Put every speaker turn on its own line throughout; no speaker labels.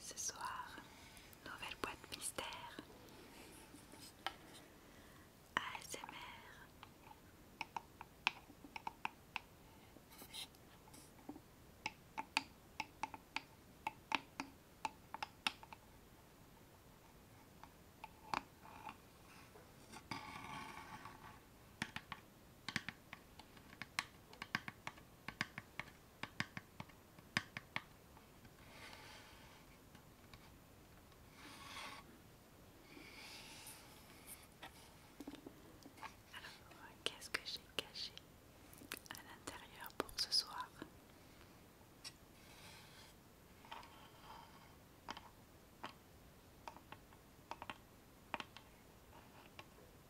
ce soir, nouvelle boîte mystère. ASMR. Alors, qu'est-ce que j'ai caché à l'intérieur pour ce soir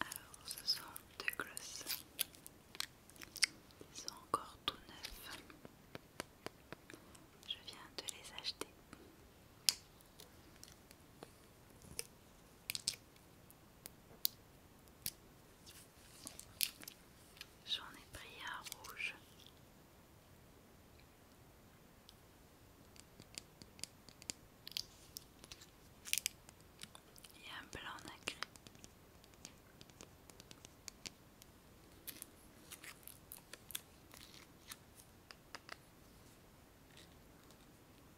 Alors ce sont deux glosses. Ils sont encore tout neufs. Je viens de les acheter. J'en ai pris un rouge. Et un blanc nacré.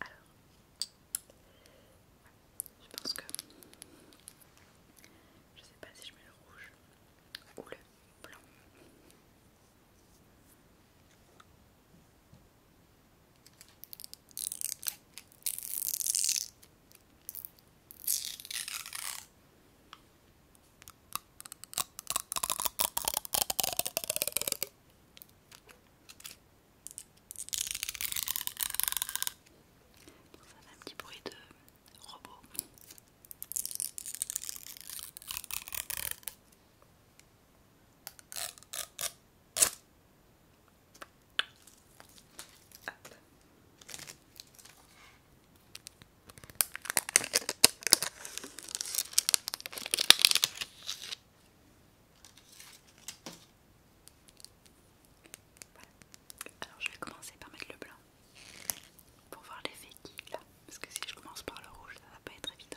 Alors, je pense que je sais pas si je mets le rouge ou le blanc. Ça fait un petit bruit de robot. Alors je vais commencer par mettre le blanc pour voir l'effet qu'il a, parce que si je commence par le rouge, ça va pas être évident.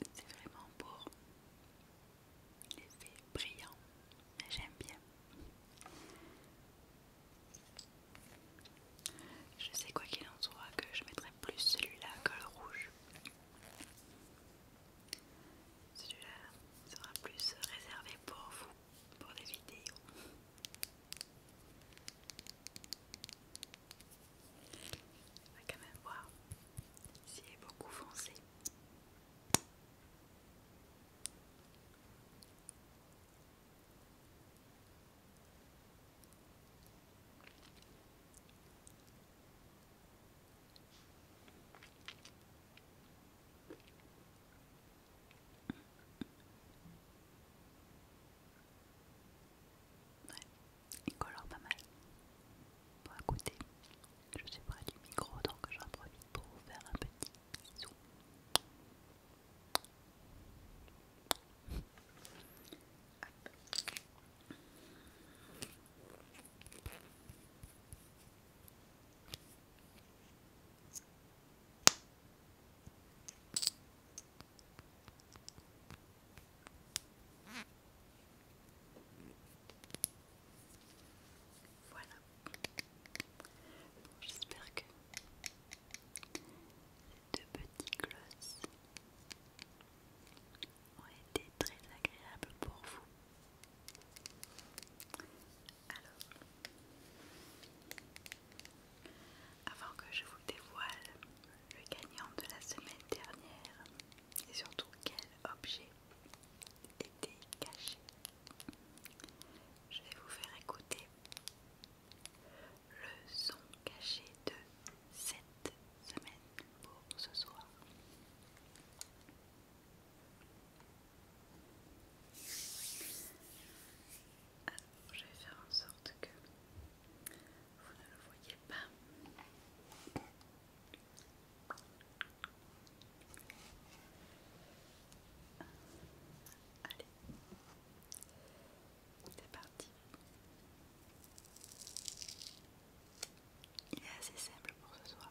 c'est vraiment pour l'effet brillant, mais j'aime bien. Je sais quoi qu'il en soit que je mettrai plus celui-là que le rouge. Celui-là sera plus réservé pour vous, pour des vidéos. On ah, va quand même voir s'il est beaucoup foncé. Ouais. Il colore pas mal. Bon, à côté, je suis près du micro donc j'en profite pour faire un petit bisou. Voilà. J'espère que ces deux petits glosses ont été très agréables pour vous. Alors, avant que je vous dévoile le gagnant de la semaine dernière et surtout quel objet était caché. Je vais vous faire écouter le son caché de cette semaine pour ce soir. Alors, je vais faire en sorte que vous ne le voyez pas. Allez, c'est parti. Il est assez simple pour ce soir.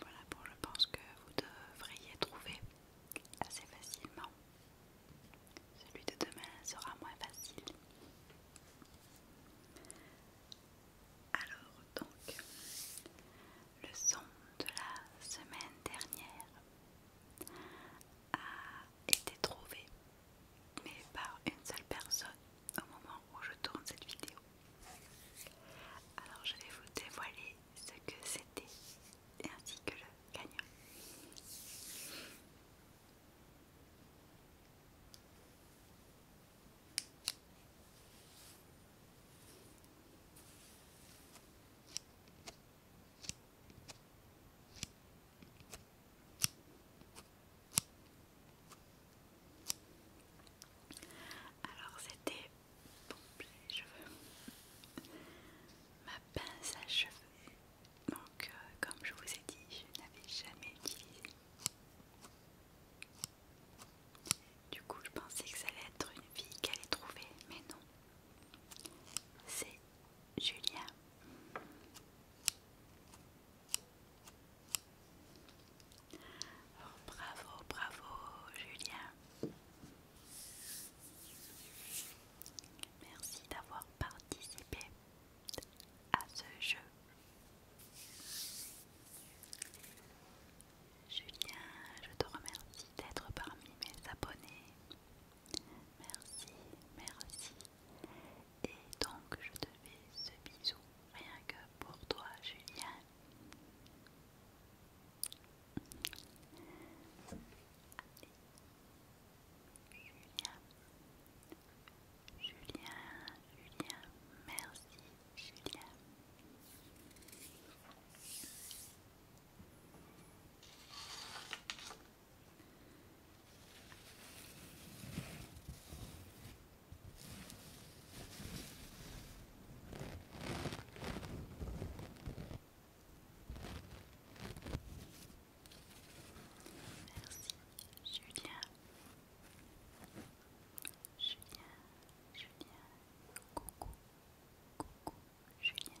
Voilà, pour je pense que vous devriez trouver assez facilement. Celui de demain sera moins facile. Alors donc, le son de la semaine dernière a été trouvé, mais par une seule personne au moment où je tourne cette vidéo. Alors je vais vous dévoiler ce que c'était et ainsi que le gagnant. Alors c'était pomper les cheveux. Ma pince à cheveux donc, euh, comme je vous ai dit, je n'avais jamais utilisé. Du coup, je pensais que ça allait être une vie qu'elle allait trouver, mais non. C'est Julien. Oh, bravo, bravo, Julien. Merci d'avoir participé à ce jeu. Julien, je te remercie d'être parmi mes abonnés. Merci, merci. Et donc je te fais ce bisou rien que pour toi, Julien. Julien, Julien, Julien, merci Julien. Merci Julien. Julien, Julien, coucou, coucou Julien.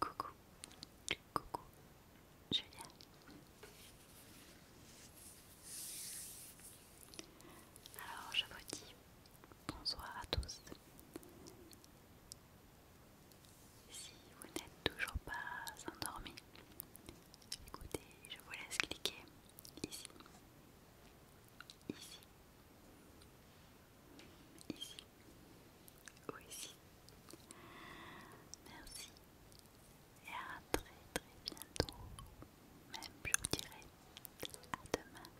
Coucou, coucou, viens. Alors, je vous dis bonsoir à tous. Si vous n'êtes toujours pas endormi, écoutez, je vous laisse cliquer ici, ici, ici ou ici. Merci et à très très bientôt, même je vous à demain.